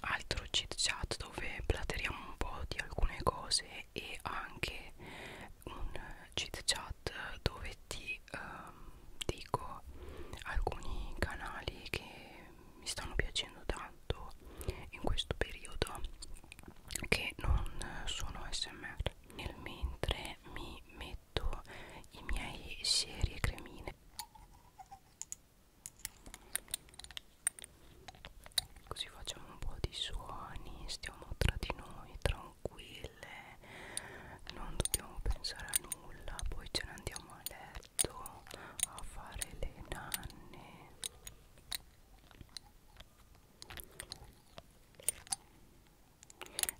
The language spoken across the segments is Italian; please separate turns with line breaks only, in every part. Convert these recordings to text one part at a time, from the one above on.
altro chit chat dove plateriamo un po' di alcune cose e anche un chit chat dove ti ehm, dico alcuni canali che mi stanno piacendo tanto in questo periodo che non sono smr nel mentre mi metto i miei seri e cremine così facciamo un po' di suoni stiamo tra di noi tranquille non dobbiamo pensare a nulla poi ce ne andiamo a letto a fare le nanne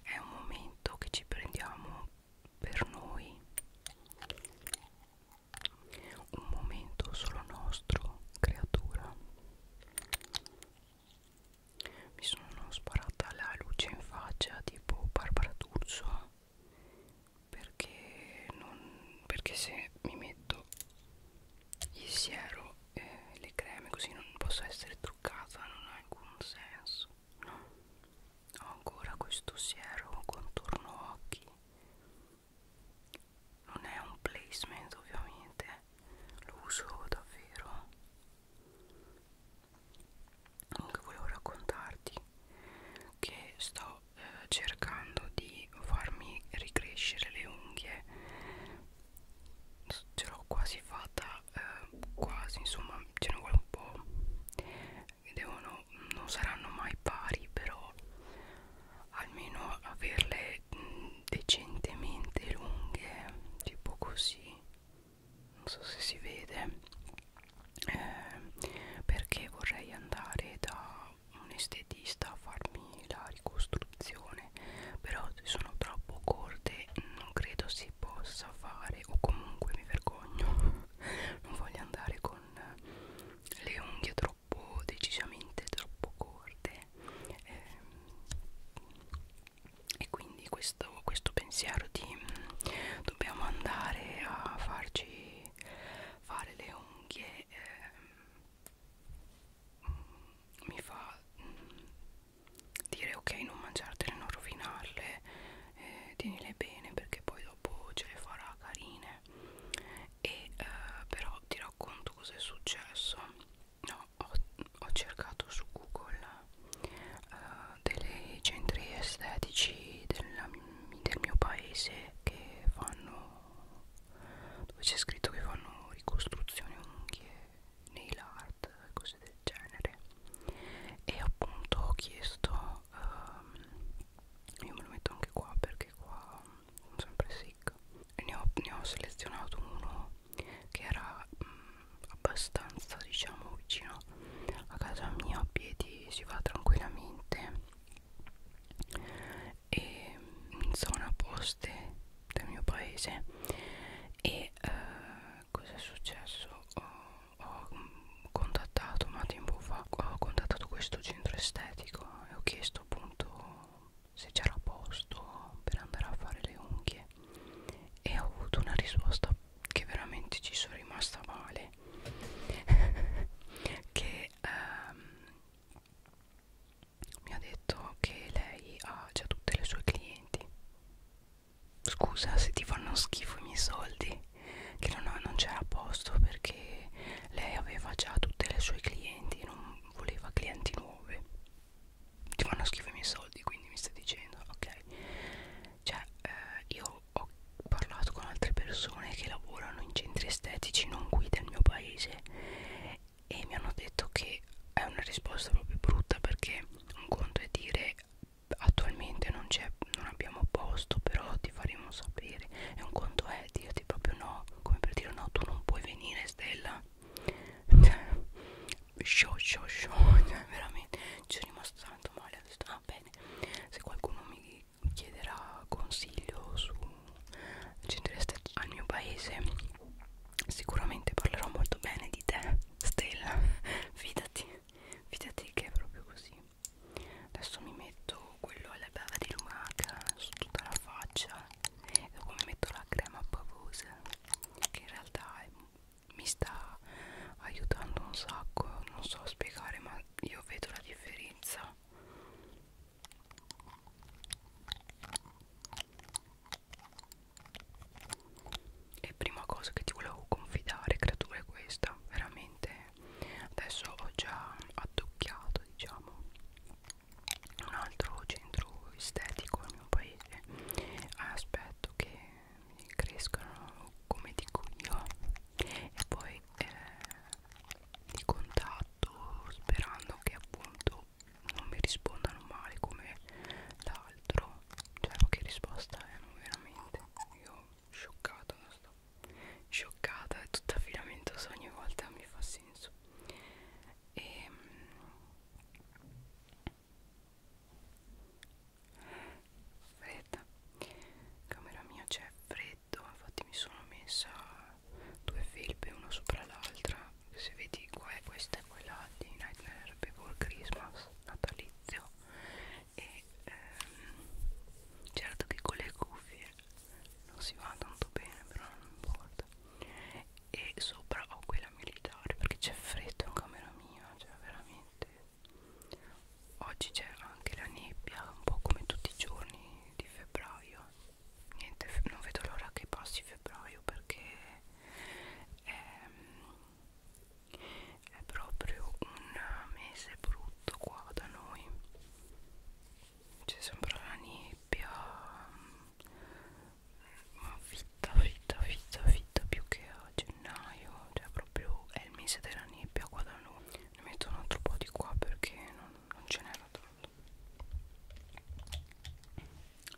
è un momento che ci prendiamo per noi un momento solo nostro creatura mi sono sparata la luce in faccia tipo Barbara D'Urso perché non perché se mi metto il siero eh, le creme così non posso essere truccata non ha alcun senso no ho ancora questo siero contorno occhi non è un placement ovviamente eh. lo uso davvero comunque volevo raccontarti che sto eh, cercando di farmi ricrescere le unghie ce l'ho quasi fatta eh, quasi insomma ce ne vuole un po' devono, non saranno mai pari però almeno averle mh, decentemente lunghe tipo così non so se si vede eh, perché vorrei andare da un estetista a farmi la ricostruzione però se sono troppo corte non credo si possa fare o comunque mi vergogno non voglio andare con le unghie troppo decisamente troppo corte ehm, e quindi questo, questo pensiero di mm, dobbiamo andare a farci fare le unghie eh, mi fa dire ok non mangiartele, non rovinarle, eh, tienile bene perché poi dopo ce le farà carine e eh, però ti racconto cosa è successo no, ho, ho cercato su google eh, dei centri estetici della, del mio paese che fanno dove c'è scritto che fanno ricostruzioni unghie nail art cose del genere e appunto ho chiesto um, io me lo metto anche qua perché qua sono sempre sick e ne ho, ne ho selezionato uno che era um, abbastanza diciamo vicino a casa mia a piedi si va tranquillamente e mm, in zona poste del mio paese e eh, cosa è successo? Ho, ho contattato ma tempo fa ho contattato questo centro estetico e ho chiesto appunto se c'era posto per andare a fare le unghie e ho avuto una risposta che veramente ci sono rimasta male che ehm, mi ha detto che lei ha già tutte le sue clienti scusa se ti fanno schifo i miei soldi che non, non c'era posto perché lei aveva già tutte le sue clienti non voleva clienti nuove ti fanno schifo i miei soldi quindi mi stai dicendo ok cioè eh, io ho parlato con altre persone che lavorano in centri estetici non qui del mio paese e mi hanno detto che è una risposta proprio brutta perché un conto è dire attualmente non, non abbiamo posto però ti faremo sapere e un conto è dirti proprio no come per dire no tu non puoi venire Stella show show show cioè, veramente ci sono rimasto tanto male ho detto ah bene se qualcuno mi chiederà consiglio su centrista al mio paese sicuramente parlerò molto bene di te Stella fidati fidati che è proprio così adesso mi metto quello alla bava di lumaca su tutta la faccia e dopo mi metto la crema pavosa che in realtà è, mi sta aiutando un sacco non so spiegare ma io vedo la differenza e prima cosa che ti volevo confidare, creatura, è questa. Veramente adesso ho già addocchiato, diciamo, un altro centro estetico nel mio paese. Aspetto che crescano come dico io e poi eh, di contatto sperando che appunto non mi rispondano male come l'altro cioè ma che risposta è eh, non veramente io scioccata non sto scioccata è tutto affidamento so ogni volta mi fa senso e ehm, fredda camera mia c'è freddo infatti mi sono messa due felpe una sopra l'altra se vedi qua è questa e quella di Nightmare Before Christmas natalizio e ehm, certo che con le cuffie non si va tanto bene però non importa e sopra ho quella militare perché c'è freddo in camera mia cioè veramente oggi c'è anche la nebbia un po' come tutti i giorni di febbraio niente non vedo l'ora che passi febbraio perché è, è proprio un mese brutto qua da noi c'è sempre la nebbia ma fitta fitta fitta fitta più che a gennaio cioè proprio è il mese della nebbia qua da noi ne metto un altro po' di qua perché non, non ce n'era tanto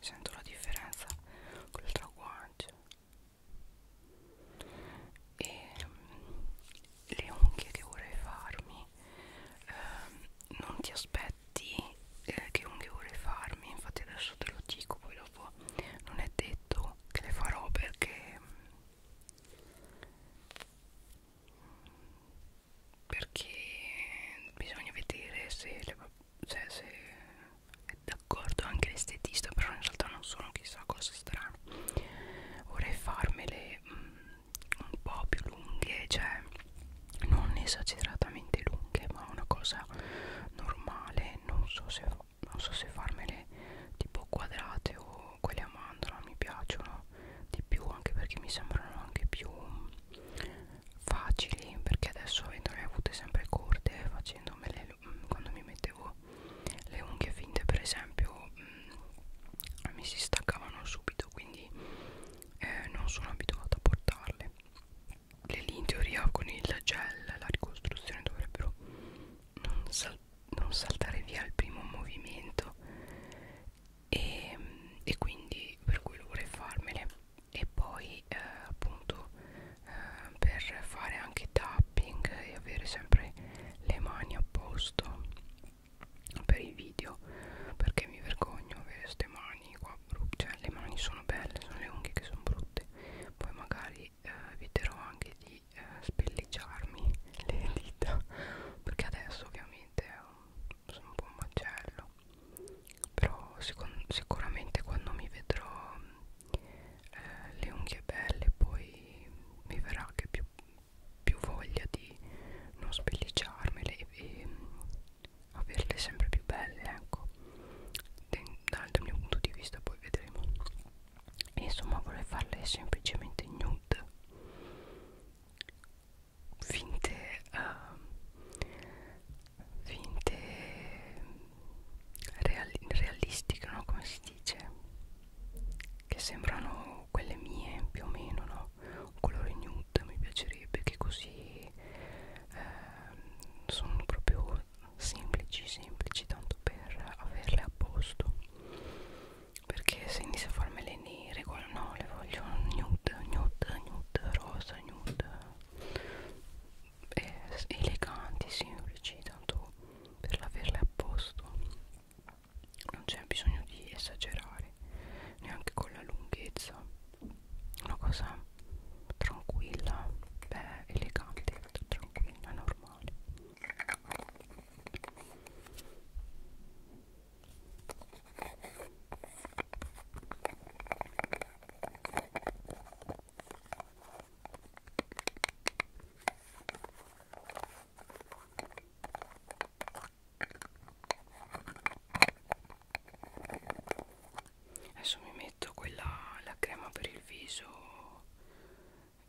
sento la differenza con il traguaggio e mm, le unghie che vorrei farmi eh, non ti aspetti eh, che unghie vorrei farmi infatti adesso te lo dico poi dopo non è detto che le farò perché mm, perché bisogna vedere se, le, se, cioè, se è d'accordo anche l'estetista però in realtà non sono chissà cosa strano vorrei farmele mh, mm, un po' più lunghe cioè non esageratamente lunghe ma una cosa normale non so se, non so se farmele tipo quadrate o quelle a mandorla mi piacciono di più anche perché mi sembrano anche più mm, facili perché adesso avendo le avute sempre corte facendomele mm, quando mi mettevo le unghie finte per esempio mh, mm, mi si staccavano subito quindi eh, non sono abituata a portarle le lì in teoria con il gel la ricostruzione dovrebbero non, sal non saltare via al primo movimento e, e quindi per cui lo vorrei farmele e poi eh, appunto eh, per fare anche tapping e avere sempre le mani a posto per i video perché mi vergogno avere queste mani qua brutte cioè le mani sono belle sono le unghie che sono brutte poi magari eh, eviterò anche di eh, spelleggiarmi le dita perché adesso ovviamente è un sono un po' un macello però sicuramente quando mi vedrò eh, le unghie belle poi mi verrà anche più, più voglia di non sbellicciarmele e, e mm, averle sempre più belle ecco Den dal mio punto di vista poi vedremo e insomma vorrei farle semplicemente nude finte uh, finte reali realistiche no come si dice che sembrano quelle mie più o meno no un colore nude mi piacerebbe che così uh, sono proprio semplici semplici tanto per averle a posto perché se inizio a farmele quindi regolo no le voglio nude nude nude rosa nude eh, eleganti semplici tanto per averle a posto non c'è bisogno di esagerare neanche con la lunghezza una cosa tranquilla beh elegante tranquilla normale Adesso mi metto quella la crema per il viso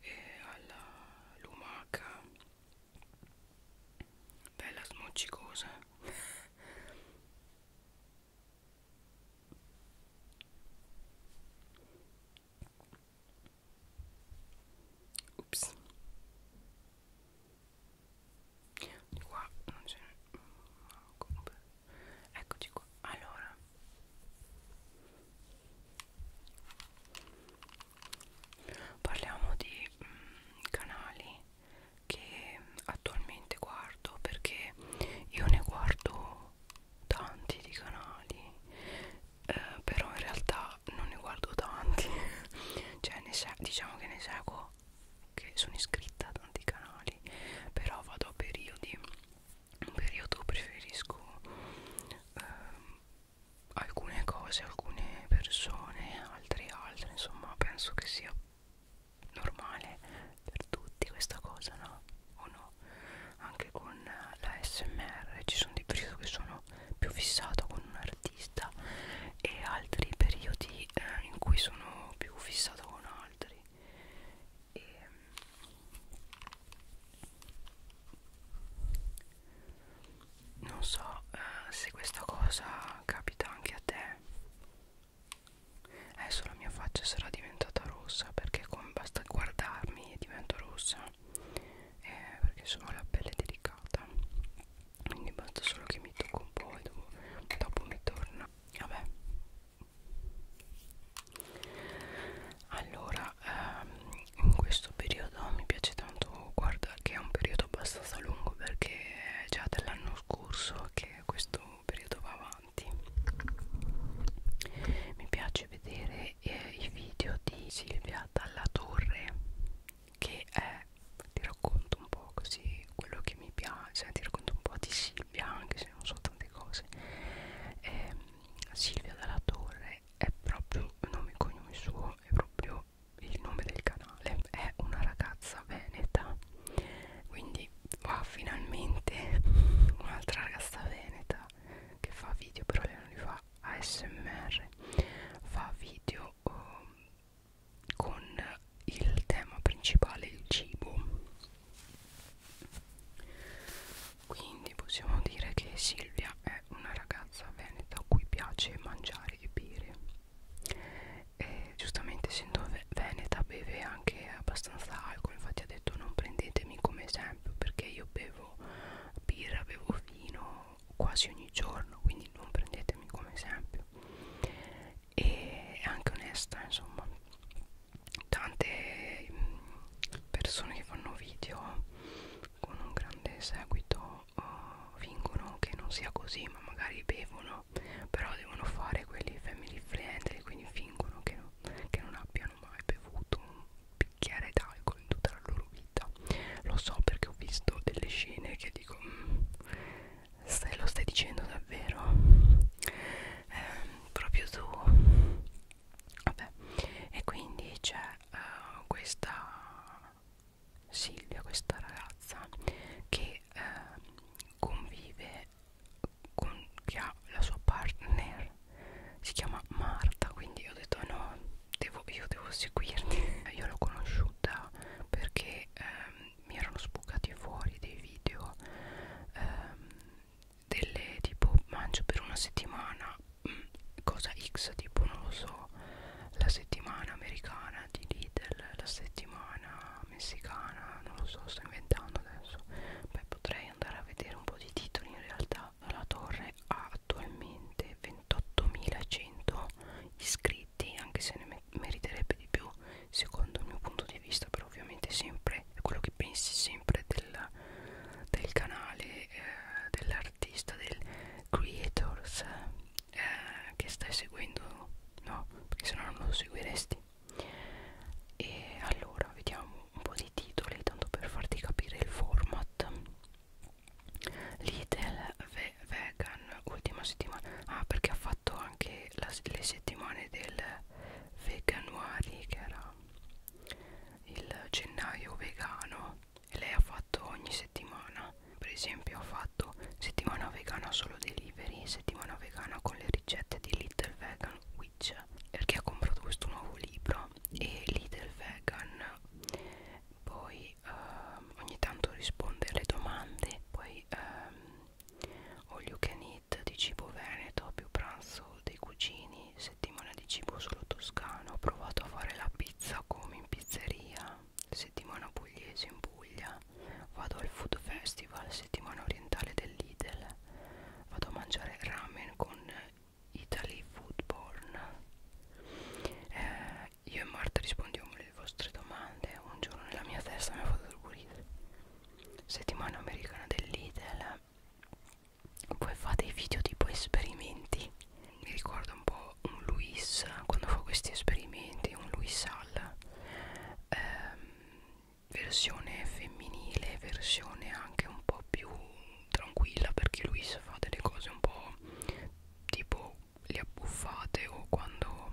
e alla lumaca bella smoccicosa ups di qua non c'è eccoci qua allora parliamo di mm, canali che attualmente guardo perché io ne guardo tanti di canali eh, però in realtà non ne guardo tanti cioè ne diciamo che ne seguo che sono iscritta a tanti canali però vado a periodi un periodo preferisco eh, alcune cose alcune persone altri e altre insomma penso che sia normale per tutti questa cosa no o no anche con la smr ci sono dei periodi che sono più fissato con un artista e altri periodi eh, in cui sono più fissato con altri e mm, non so eh, se questa cosa capita anche a te adesso la mia faccia sarà diventata rossa perché come basta guardarmi divento rossa eh, perché sono la pelle delicata quindi basta solo che mi tocco un po' e dopo, dopo mi torna vabbè allora ehm, in questo periodo mi piace tanto guardare che è un periodo abbastanza lungo perché è già dall'anno scorso che questo periodo va avanti mi piace vedere eh, i video di Silvia Dalla Torre che è ti racconto un po' così quello che mi piace ti racconto un po' di Silvia anche se non so tante cose eh, Silvia Dalla Torre è proprio un nome e cognome suo è proprio nome, il nome del canale è una ragazza veneta quindi qua wow, finalmente un'altra ragazza veneta che fa video però lei non li fa ASMR fa video um, con il tema principale il cibo quindi possiamo dire che Silvia è una ragazza veneta a cui piace mangiare e bere e giustamente essendo veneta beve anche abbastanza alcol infatti ha detto non prendetemi come esempio perché io bevo birra bevo vino quasi ogni giorno quindi non prendetemi come esempio e è anche onesta insomma tante mm, persone che fanno video con un grande seguito uh, fingono che non sia così ma magari bevono però devono fare quelli family friendly quindi fingono che, no, che non abbiano mai bevuto un bicchiere d'alcol in tutta la loro vita lo so perché ho visto delle scene che dico mm, stai, lo stai dicendo davvero eh, proprio tu vabbè e quindi c'è uh, questa Silvia, questa ragazza che eh, convive con che ha la sua partner si chiama Marta quindi ho detto no devo, io devo seguirti io l'ho conosciuta perché ehm, mi erano sbucati fuori dei video ehm, delle tipo mangio per una settimana mh, mm, cosa x tipo non lo so la settimana americana di lì lì della settimana messicana, non lo so, sto inventando adesso. Beh, potrei andare a vedere un po' di titoli in realtà. La torre ha attualmente 28.100 iscritti, anche se ne meriterebbe di più, secondo il mio punto di vista, però ovviamente sempre è quello che pensi sempre del, del canale eh, dell'artista, del creators eh, che stai seguendo no perché se no non lo seguiresti e allora vediamo un po' di titoli tanto per farti capire il format Lidl ve vegan ultima settimana ah perché ha fatto anche la, le settimane del veganuari che era il gennaio vegano lei ha fatto ogni settimana per esempio ha fatto settimana vegana solo delivery settimana vegana con le ricette di Little Vegan Witch perché ha comprato questo nuovo libro e Little Vegan poi ehm, ogni tanto risponde alle domande poi ehm, all you can eat di cibo veneto più pranzo dei cugini settimana di cibo solo toscano ho provato a fare la pizza come in pizzeria settimana pugliese in Puglia, vado al food festival, settimana orientale dell'Idel, vado a mangiare ramen con Italy Foodborn. Eh, io e Marta rispondiamo alle vostre domande, un giorno nella mia testa mi ha fatto dormire. Settimana americana dell'Idel, poi fate i video tipo esperimenti mi ricorda un po' un Luis quando fa questi esperimenti, un Luis Al ehm, versione femminile, versione anche un po' più tranquilla perché Luis fa delle cose un po' tipo le abbuffate o quando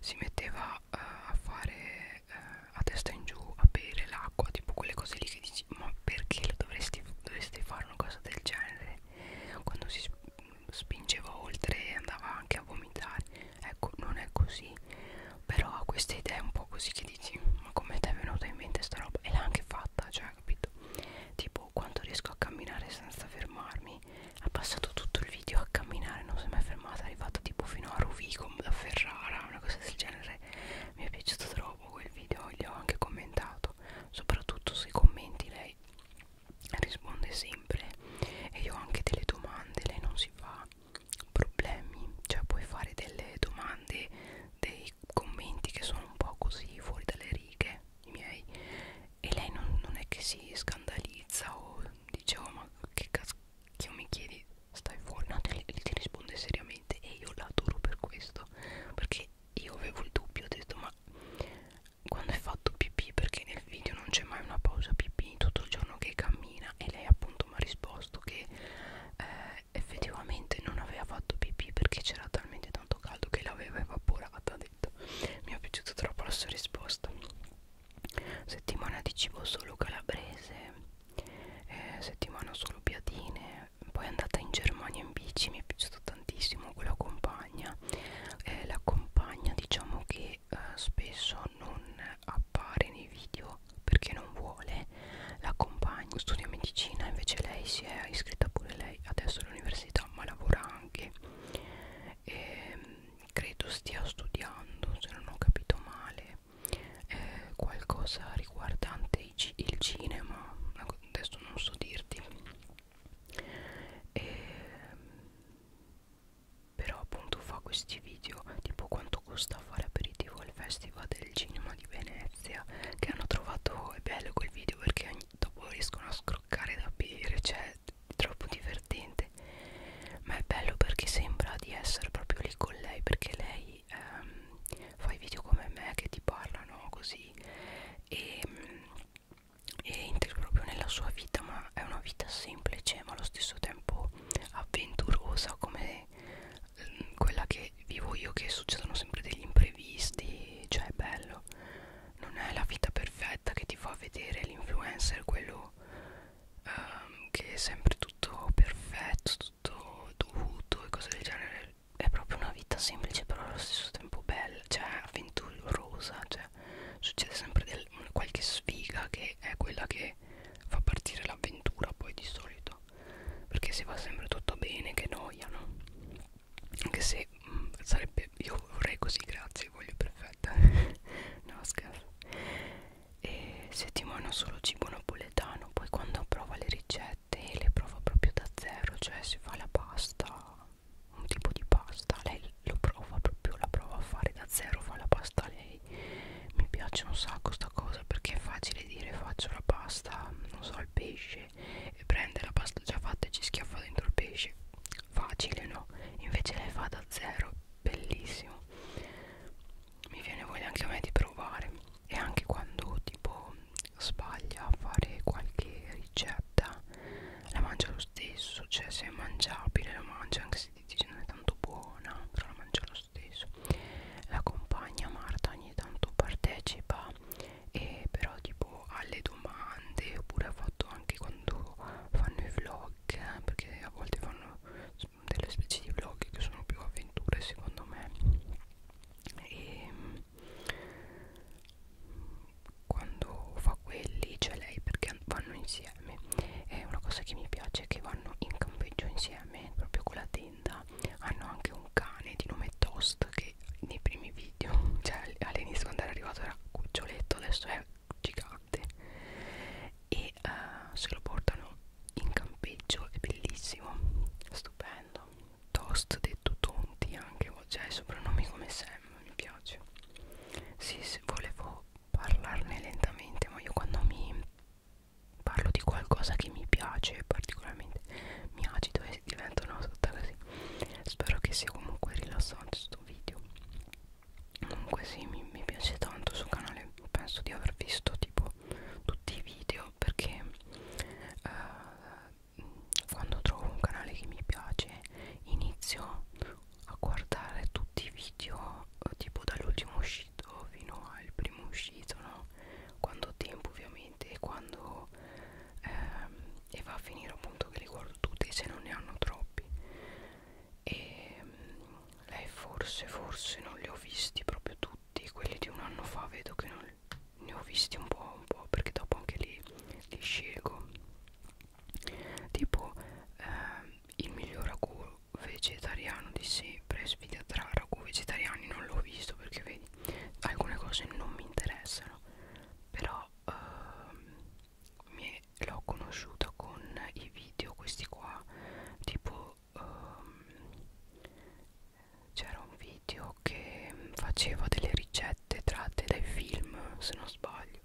si metteva eh, a fare eh, a testa in giù a bere l'acqua, tipo quelle cose lì che dici ma perché dovresti, dovresti fare una cosa del genere quando si spingeva oltre e andava anche a vomitare ecco non è così però ha queste idee un po' così che dici ma come ti è venuta in mente sta roba e l'ha anche fatta cioè capito tipo quanto riesco a camminare senza fermarmi ha passato tutto il video a camminare non si è mai fermata è arrivata tipo fino a Rovigo da Ferrara una cosa del genere mi è piaciuto troppo quel video gli ho anche commentato soprattutto sui commenti lei risponde sempre e io ho anche delle domande lei non si fa problemi cioè puoi fare delle domande dei commenti che sono un po' così fuori dalle righe i miei e lei non, non è che si scandalizza o dice oh ma che cazzo che mi chiedi stai fuori no te, ti risponde seriamente e io la adoro per questo perché io avevo il dubbio ho detto ma quando è fatto pipì perché nel video non c'è mai una pausa pipì tutto il giorno che cammina e lei appunto mi ha risposto che eh, effettivamente non aveva fatto pipì perché c'era talmente tanto caldo che l'aveva evaporata ha detto mi è piaciuta troppo la sua risposta settimana di cibo solo calabrese eh, settimana solo piadine poi è andata in Germania in bici mi è piaciuto tantissimo quella compagna compagna eh, la compagna diciamo che eh, spesso non appare nei video perché non vuole la compagna studia medicina invece lei si è iscritta pure lei adesso all'università ma lavora anche e, ehm, credo stia studiando se non ho capito male eh, qualcosa riguardante il cinema adesso non so dirti e, però appunto fa questi video tipo quanto costa fare aperitivo al festival del cinema di Venezia che hanno trovato è bello quel video perché ogni, dopo riescono a scroccare da bere cioè è troppo divertente ma è bello perché sembra di essere proprio lì con lei perché lei ehm, fa i video come me che ti parlano così e mh, e entri proprio nella sua vita ma è una vita semplice ma allo stesso tempo avventurosa come mm, quella che vivo io che succedono sempre degli imprevisti cioè è bello non è la vita perfetta che ti fa vedere l'influencer quello um, che è sempre tutto perfetto tutto dovuto e cose del genere è proprio una vita semplice però allo stesso tempo bella cioè avventurosa cioè succede sempre del, qualche sfiga che è quella che fa partire l'avventura poi di solito perché se va sempre tutto bene che noia no? anche se mh, mm, sarebbe io vorrei così grazie voglio perfetta no scherzo e settimana solo cibo napoletano poi quando prova le ricette le prova proprio da zero cioè si fa la pasta un tipo di pasta lei lo prova proprio la prova a fare da zero fa la pasta lei mi piace un sacco sta cosa perché è facile dire faccio la pasta non so al pesce e prende la pasta già fatta e ci schiaffa dentro il pesce facile no invece lei fa da zero bellissimo mi viene voglia anche a me di provare e anche quando tipo sbaglia a fare qualche ricetta la mangia lo stesso cioè se è mangiabile la mangia anche se ti dice non è tanto buona però la mangia lo stesso la compagna Marta ogni tanto partecipa e però tipo alle domande oppure ha fatto anche quando fanno i vlog perché a volte fanno delle specie di vlog che sono più avventure secondo me e ehm, quando fa quelli c'è lei perché vanno insieme e una cosa che mi piace è che vanno in campeggio insieme proprio con la tenda hanno anche un cane di nome Toast che nei primi video cioè all'inizio quando era arrivato era cuccioletto adesso è gigante e uh, se lo portano in campeggio è bellissimo stupendo Toast detto Tonti anche cioè i soprannomi come sempre mi piace sì, sì volevo parlarne lentamente ma io quando mi parlo di qualcosa che mi piace particolarmente mi agito e divento una sorta così spero che sia comunque rilassante sto video comunque sì mi, mi piace tanto sul canale penso di aver visto tipo tutti i video perché uh, quando trovo un canale che mi piace inizio a guardare tutti i video eh, tipo dall'ultimo uscito fino al primo uscito no? quando ho tempo ovviamente e quando ehm, e va a finire appunto che li guardo tutti se non ne hanno troppi e ehm, lei forse forse non li ho visti proprio tutti quelli di un anno fa vedo che non ne ho visti un po' un po' perché dopo anche lì li, li scelgo tipo ehm, il miglior ragù vegetariano di sempre sfida tra ragù vegetariani non l'ho visto perché vedi alcune cose non mi interessano però ehm, l'ho conosciuta con i video questi qua tipo ehm, c'era un video che faceva delle ricette scalette tratte dai film se non sbaglio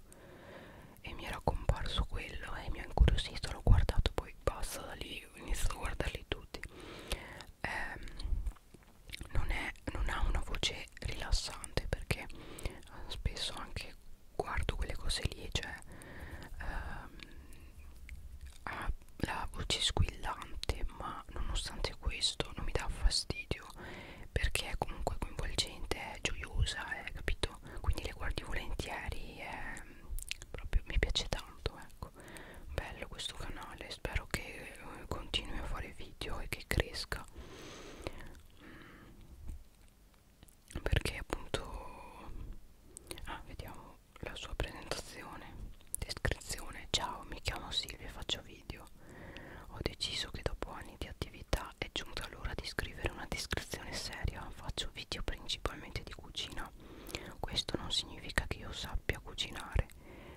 e mi era comparso quello e mi ha incuriosito l'ho guardato poi basta da lì ho iniziato a guardarli tutti eh, non, è, non ha una voce rilassante perché eh, spesso anche guardo quelle cose lì cioè ehm, ha la voce squillante ma nonostante questo non mi dà fastidio perché è comunque coinvolgente, è gioiosa, è, eh, capito? Quindi le guardi volentieri, è, proprio mi piace tanto, ecco. Bello questo canale, spero che eh, continui a fare video e che cresca. Mm. Perché appunto... Ah, vediamo la sua presentazione, descrizione. Ciao, mi chiamo Silvia e faccio video video ho deciso che dopo anni di attività è giunta l'ora di scrivere una descrizione seria faccio video principalmente di cucina questo non significa che io sappia cucinare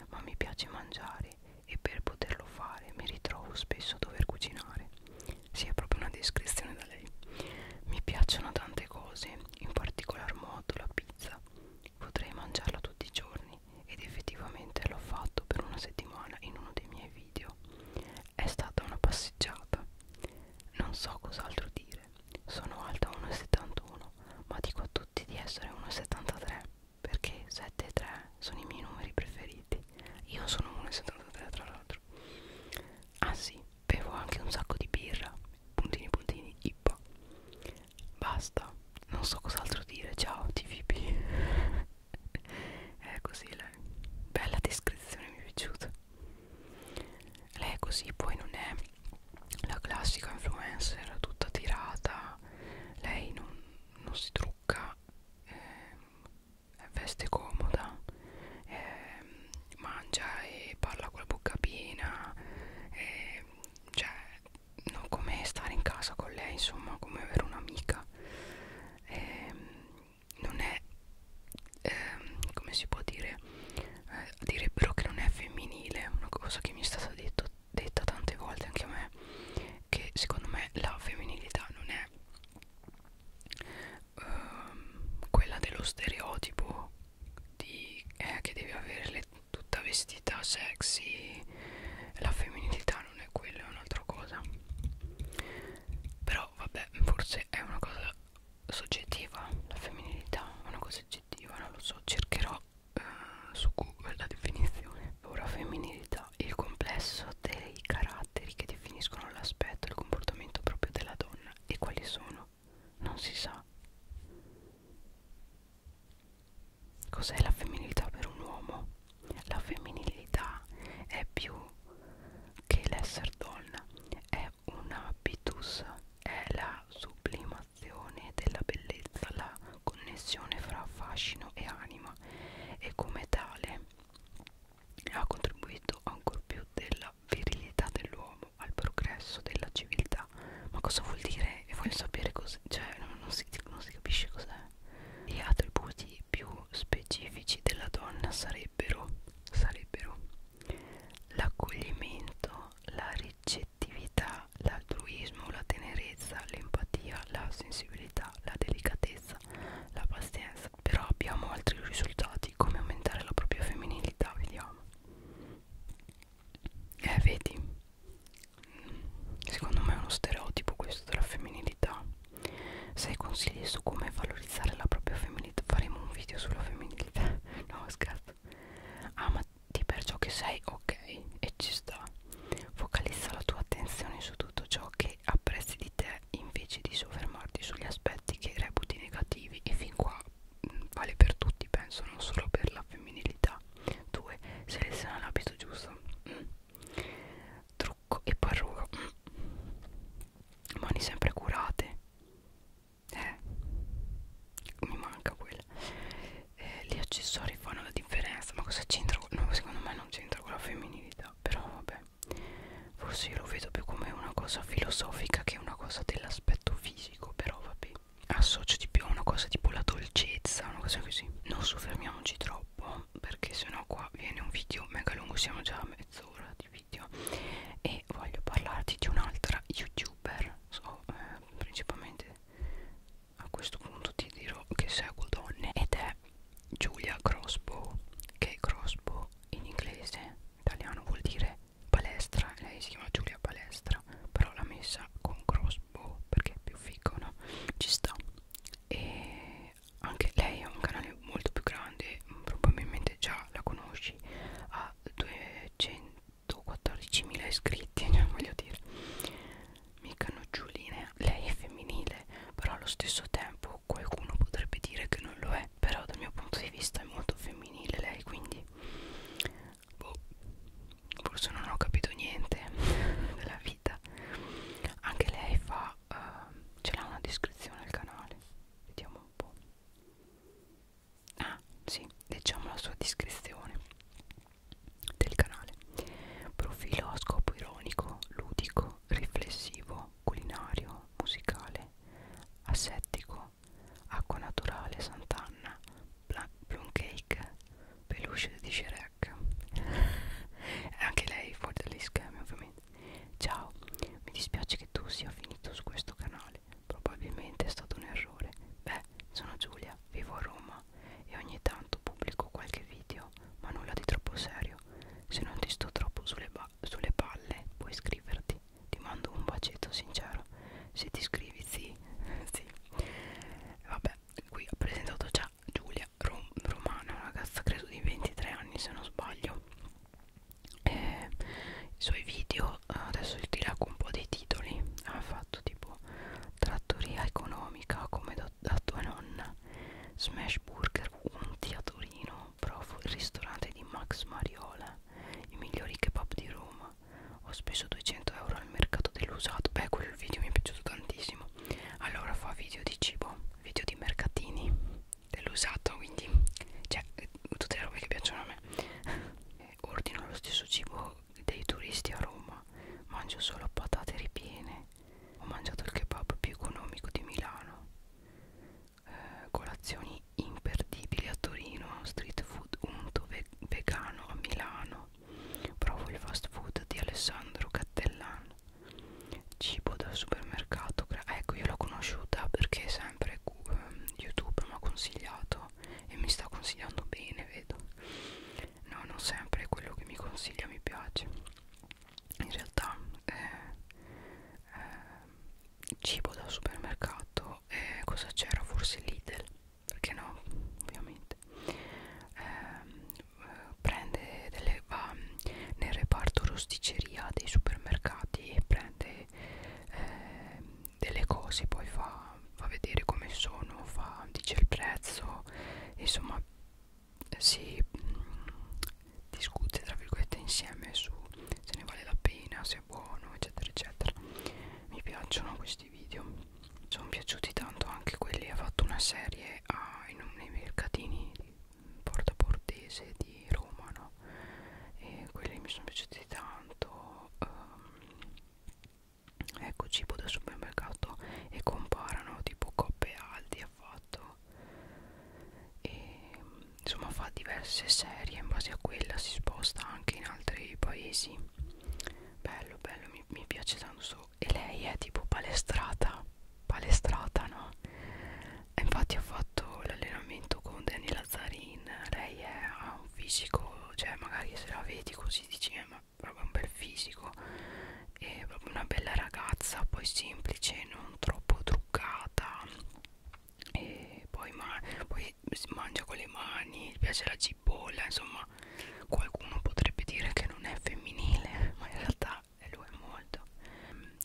ma mi piace mangiare e per poterlo fare mi ritrovo spesso a dover cucinare sì è proprio una descrizione da lei mi piacciono tante cose in particolar modo la pizza potrei mangiarla tutti i giorni ed effettivamente l'ho fatto per una settimana in uno dei miei video. È stata una passeggiata. Non so cos'altro dire. Sono alta 1,71, ma dico a tutti di essere 1,73 perché 7 e 3 sono i miei numeri preferiti. Io sono 1,73 tra l'altro. Ah sì, bevo anche un sacco di birra. Puntini puntini, ippa. Basta, non so cos'altro dire. Ciao, TVP. è così lei bella descrizione mi è piaciuta lei è così poi non è la classica influencer tutta tirata lei non, non si trucca eh, veste comoda eh, mangia e parla con la bocca piena eh, cioè non come stare in casa con lei insomma come avere un'amica eh, non è eh, come si può dire eh, direbbero che non è femminile una cosa che mi è stata detto, detta tante volte anche a me che secondo me la femminilità non è eh, quella dello stereotipo di, eh, che deve averle tutta vestita sexy la femminilità non è quello, è un'altra cosa. Però vabbè, forse è una cosa soggettiva, la femminilità è una cosa oggettiva, non lo so, cercherò eh, su Google la definizione. Ora femminilità, il complesso dei caratteri che definiscono l'aspetto e il comportamento proprio della donna e quali sono? Non si sa. Cos'è la femminilità per un uomo? La femminilità è più che l'essere donna, è un habitus, è la sublimazione della bellezza, la connessione fra fascino e anima e come tale ha contribuito ancor più della virilità dell'uomo al progresso della civiltà. Ma cosa vuol dire? E voglio sapere cos'è, cioè non, non, si, non si capisce cos'è. Gli attributi più specifici della donna sarebbero, sarebbero l'accoglimento, la ricettività, l'altruismo, la tenerezza, l'empatia, la sensibilità, la delicatezza, la pazienza. Però abbiamo altri risultati come aumentare la propria femminilità, vediamo. Eh, vedi? secondo me è uno stereotipo questo della femminilità sei consigli su come valorizzare la propria femminilità faremo un video sulla femminilità no scherzo amati per ciò che sei ok e ci sta focalizza la tua attenzione su tutto ciò che apprezzi di te invece di soffermarti sugli aspetti che reputi negativi e fin qua mh, mm, vale per tutti penso non solo per la femminilità 2 seleziona l'abito giusto mm trucco e parruga mani sempre curate eh mi manca quella eh, gli accessori fanno la differenza ma cosa c'entra? No, secondo me non c'entra con la femminilità però vabbè forse io lo vedo più come una cosa filosofica che una cosa dell'aspetto fisico però vabbè associo di più a una cosa tipo la dolcezza una cosa così non soffermiamoci troppo perché sennò qua viene un video mega lungo siamo già a mezz'ora di video e voglio parlarti di un'altra youtuber so, eh, principalmente a questo punto ti dirò che seguo donne ed è Giulia Crossbow che Crossbow in inglese italiano vuol dire palestra lei si chiama Giulia Palestra però l'ha messa con cross boh, perché è più figo, no? Ci sta. E anche lei ha un canale molto più grande, probabilmente già la conosci, ha 214.000 iscritti, voglio dire. Mica noccioline, lei è femminile, però allo stesso tempo qualcuno potrebbe dire che non lo è, però dal mio punto di vista è molto femminile lei, quindi boh, forse non ho capito niente della vita vita anche lei fa uh, ce l'ha una descrizione al canale vediamo un po' ah sì leggiamo la sua descrizione del canale profilo a scopo ironico ludico riflessivo culinario musicale assettico acqua naturale sant'anna plum cake peluche di Shrek Black anche lei fuori dagli schemi ovviamente ciao mi dispiace che tu sia finito su questo canale probabilmente è stato un errore beh sono Giulia vivo a Roma e ogni tanto pubblico qualche video ma nulla di troppo serio se non ti sto troppo sulle, sulle palle puoi iscriverti ti mando un bacetto sincero se ti iscrivi sì sì vabbè qui ho presentato già Giulia rom romana, una ragazza credo di 23 anni se non sbaglio e i suoi video adesso ti leggo un po' dei titoli ha fatto tipo trattoria economica come da, da tua nonna smash burger unti a Torino provo il ristorante di Max Mariola i migliori kebab di Roma ho speso 200 euro al mercato dell'usato beh quel video mi è piaciuto tantissimo allora fa video di cibo video di mercatini dell'usato quindi cioè tutte le robe che piacciono a me ordino lo stesso cibo dei turisti a Roma mangio solo patate ripiene ho mangiato il kebab più economico di Milano eh, colazioni imperdibili a Torino street food unto ve vegano a Milano Provo il fast food di Alessandro Cattellan Cibo da supermercato ah, Ecco io l'ho conosciuta perché sempre ehm, YouTube mi ha consigliato E mi sta consigliando bene vedo No non sempre quello che mi consiglia mi piace In realtà eh, eh, Cibo da supermercato eh, Cosa c'era forse Lidl perché no ovviamente ovviamente eh, prende delle, va nel reparto rosticeria dei supermercati e prende eh, delle cose poi fa, fa vedere come sono fa, dice il prezzo insomma si mm, discute tra virgolette insieme su se ne vale la pena se è buono eccetera eccetera mi piacciono questi video sono piaciuti tanto anche quelli ha fatto una serie anche a, in un, nei mercatini di Porta Portese di Roma no? e quelli mi sono piaciuti tanto um, ecco cibo da supermercato e comparano tipo coppe aldi ha fatto e insomma fa diverse serie in base a quella si sposta anche in altri paesi bello bello mi, mi piace tanto sto e lei è tipo palestrata palestrata no e infatti ha fatto l'allenamento con Danny Lazzarin lei è, ha un fisico cioè magari se la vedi così dici eh, ma proprio un bel fisico è proprio una bella ragazza poi semplice non troppo truccata e poi, ma poi si mangia con le mani, gli piace la cipolla, insomma qualcuno potrebbe dire che non è femminile ma in realtà lo è molto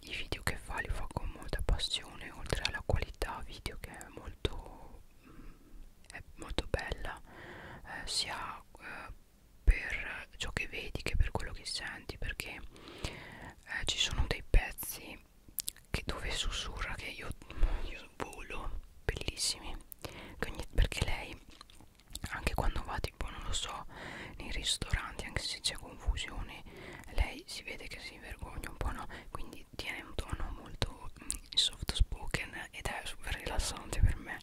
i video che fa li fa con molta passione oltre alla qualità video che è molto è molto bella eh, sia eh, per ciò che vedi che per quello che senti perché eh, ci sono dei pezzi che dove sussurra che io, io volo bellissimi che ogni, perché lei anche quando va tipo non lo so nei ristoranti anche se c'è confusione lei si vede che si vergogna un po' no quindi tiene un tono molto mm, soft spoken ed è super rilassante per me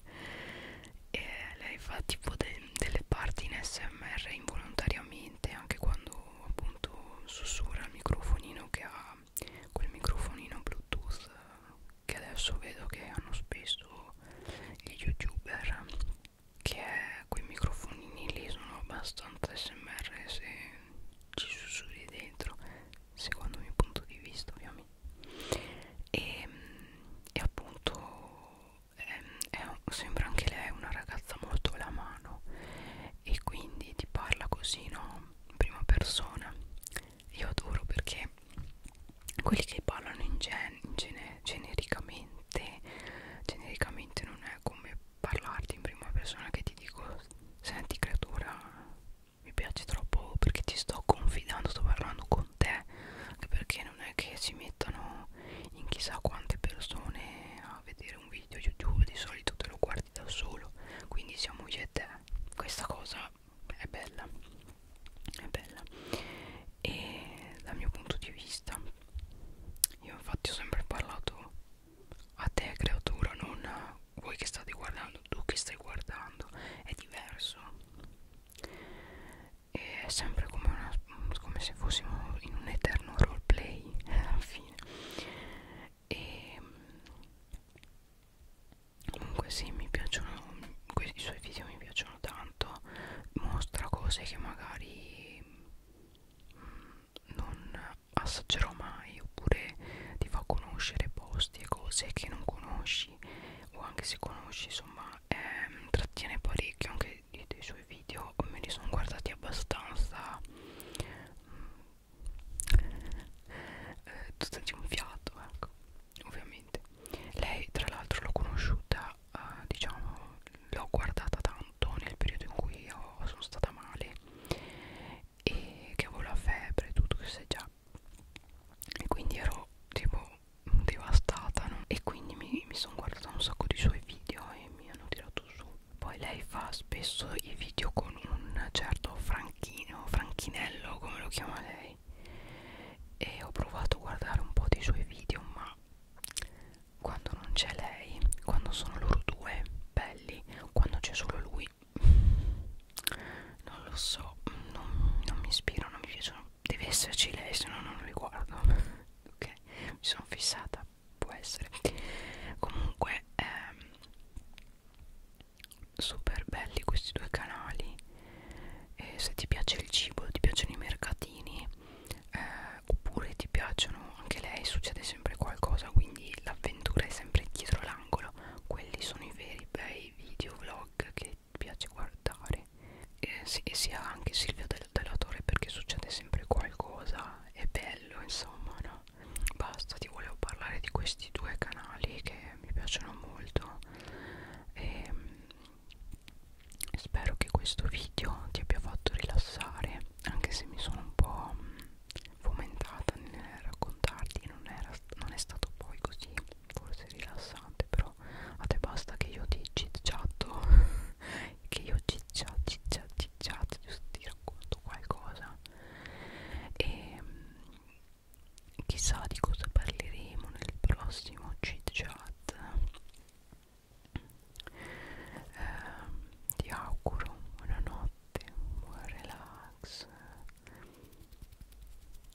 e lei fa tipo de delle parti in smr involontariamente anche quando appunto sussurra il microfonino che ha quel microfonino bluetooth che adesso vedo che hanno spesso gli youtuber che quei microfonini lì sono abbastanza smr se ci sussurri dentro secondo il mio punto di vista ovviamente e, ehm, e appunto ehm, è, è, sembra anche lei una ragazza molto alla mano e quindi ti parla così no in prima persona io adoro perché quelli che parlano in gen, in gene, genericamente genericamente non è come parlarti in prima persona che ti dico senti creatura mi piace troppo perché ti sto confidando sto parlando con te anche perché non è che si mettono in chissà quante persone a vedere un video youtube di solito te lo guardi da solo quindi siamo io e te questa cosa è bella è bella e dal mio punto di vista io infatti ho sempre parlato a te creatura non a voi che state guardando tu che stai guardando è diverso e è sempre come, una, come se fossimo in un eterno roleplay alla fine e comunque sì mi piacciono i suoi video mi piacciono tanto mostra cose che magari mh, mm, non assaggerò mai oppure ti fa conoscere posti e cose che non conosci o anche se conosci insomma ehm, trattiene parecchio anche dei, dei suoi video me li sono guardati abbastanza mh, mm, eh, tutto di un fiato ecco ovviamente lei tra l'altro l'ho conosciuta eh, diciamo l'ho guardata tanto nel periodo in cui io sono stata male e che avevo la febbre e tutto che sai già e quindi ero tipo devastata no? e quindi mi, mi sono guardata un sacco di suoi video e mi hanno tirato su poi lei fa spesso i video con un certo franchino franchinello come lo chiama lei e ho provato a guardare un po' dei suoi video ma quando non c'è lei quando sono loro due belli quando c'è solo lui non lo so non, non mi ispiro non mi piacciono deve esserci lei se no non li guardo ok mi sono fissata può essere comunque ehm, super belli questi due canali e se ti piace il cibo ti piacciono i mercatini eh, oppure ti piacciono anche lei succede sempre qualcosa quindi l'avventura è sempre dietro l'angolo quelli sono i veri bei video vlog che ti piace guardare e, sì, e sia anche Silvia del, Delatore perché succede sempre qualcosa è bello insomma no basta ti volevo parlare di questi due canali che mi piacciono molto e mm, spero che questo video ti abbia fatto rilassare anche se mi sono un po' mm, fomentata nel raccontarti non, era, non è stato poi così forse rilassante però a te basta che io ti cicciatto che io ciccia ciccia cicciato ti racconto qualcosa e mm, chissà di cosa parleremo nel prossimo chit chat eh, ti auguro buonanotte buon relax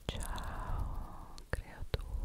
ciao creatura